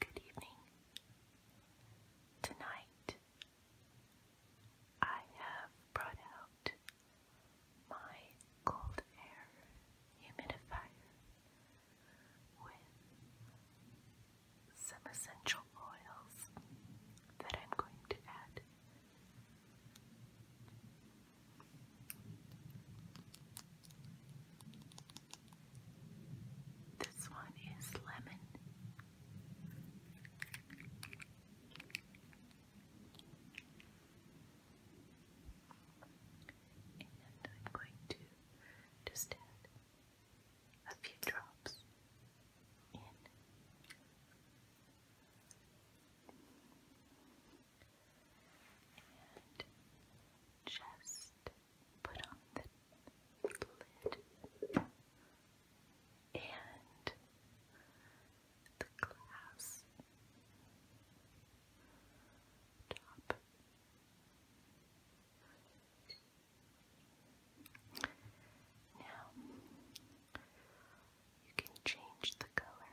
Good evening. Tonight I have brought out my cold air humidifier with some essential essential oils that I'm going to add. This one is lemon. And I'm going to just add a few drops in. And just put on the lid and the glass top. Now, you can change the color,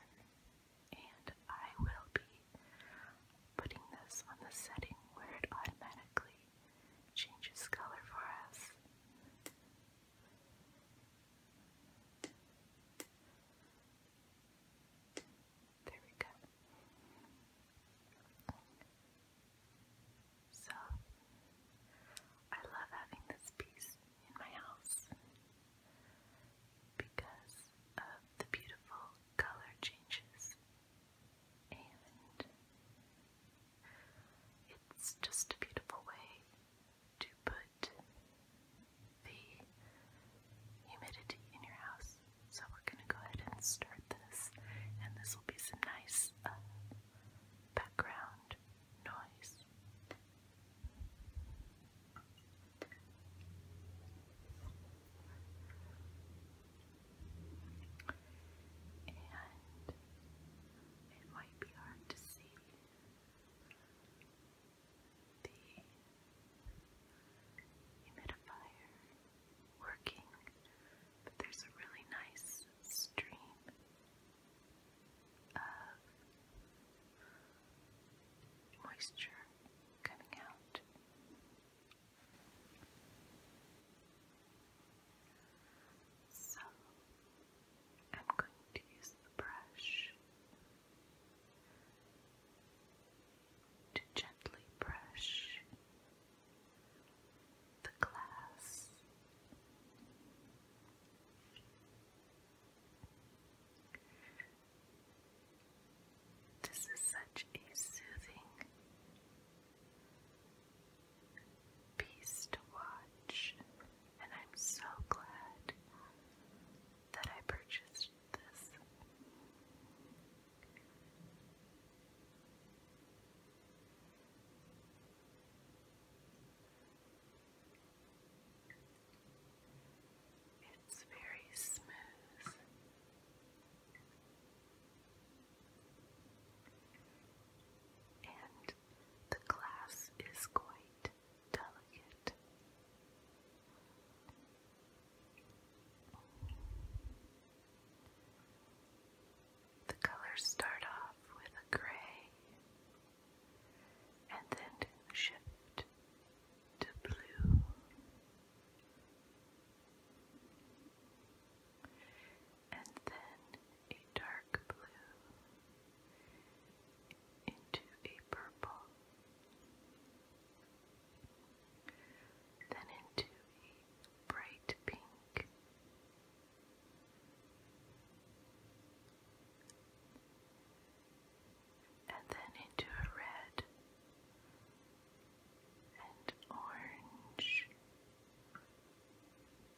and I will be putting this on the setting where it automatically changes color for us. There we go. So I love having this piece in my house because of the beautiful color changes and it's just a beautiful way to put the humidity in your house. So we're going to go ahead and start this and this will be some nice uh, background noise. And it might be hard to see the humidifier working, but there's a really nice stream of uh, moisture coming out. So I'm going to use the brush to gently brush the glass. This is such a soothing piece to watch, and I'm so glad that I purchased this. It's very smooth. And the glass is quite delicate. The colors start off with a gray and then shift to blue. And then a dark blue into a purple, then into a bright pink, and then into a red and orange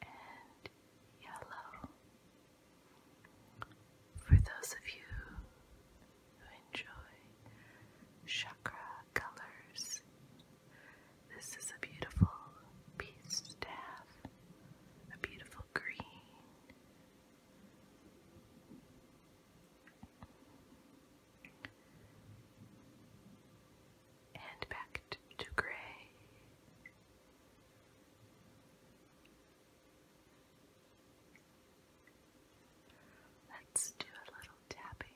and yellow. For those of you who enjoy chakra colors, this is a beautiful piece. staff, a beautiful green. And back to, to gray. Let's do a little tapping.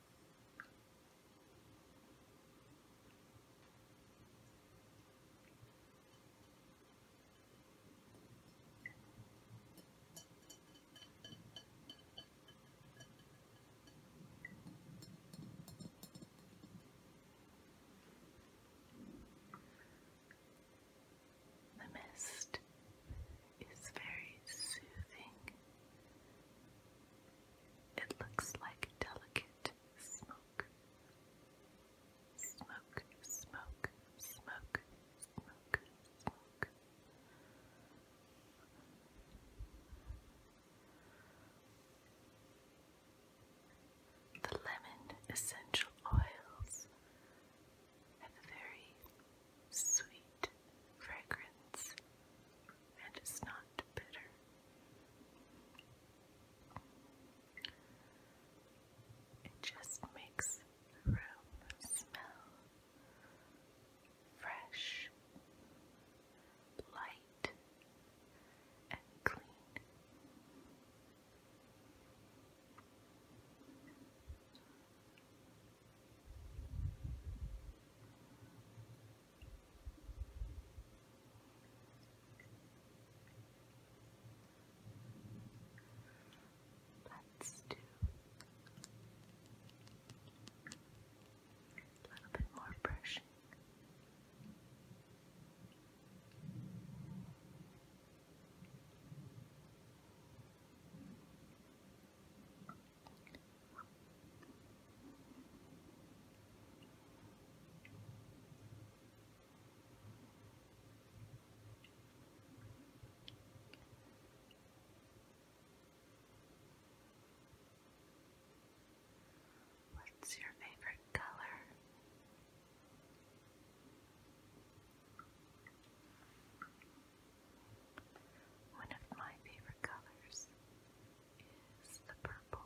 The mist is very soothing it looks like delicate smoke. Smoke, smoke, smoke, smoke, smoke. The lemon essential oils have a very sweet fragrance and it's not bitter. It just makes the room smell fresh, light, and clean. Let's do a little bit more brushing. What's your favorite color? What one of my favorite colors is the purple.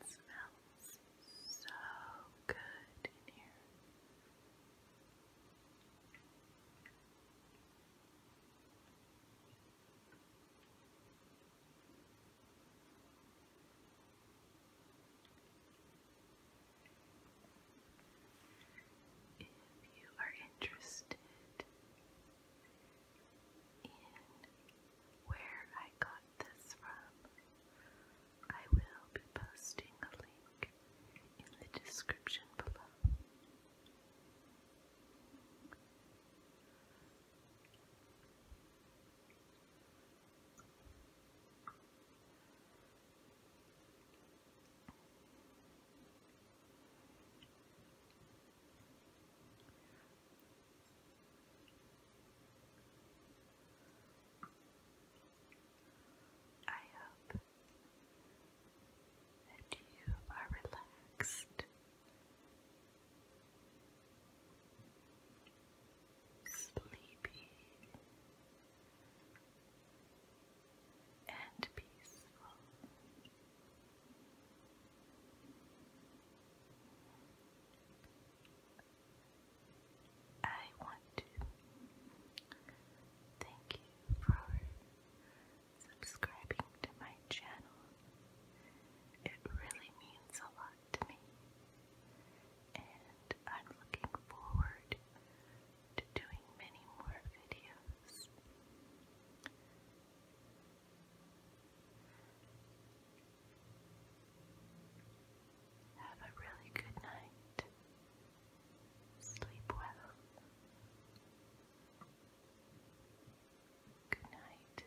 It smells so good in here. If you are interested in where I got this from. I will be posting a link in the description below. I hope that you are relaxed, sleepy, and peaceful. I want to thank you for subscribing to my channel. It really means a lot to me, and I'm looking forward to doing many more videos. Have a really good night. Sleep well. Good night.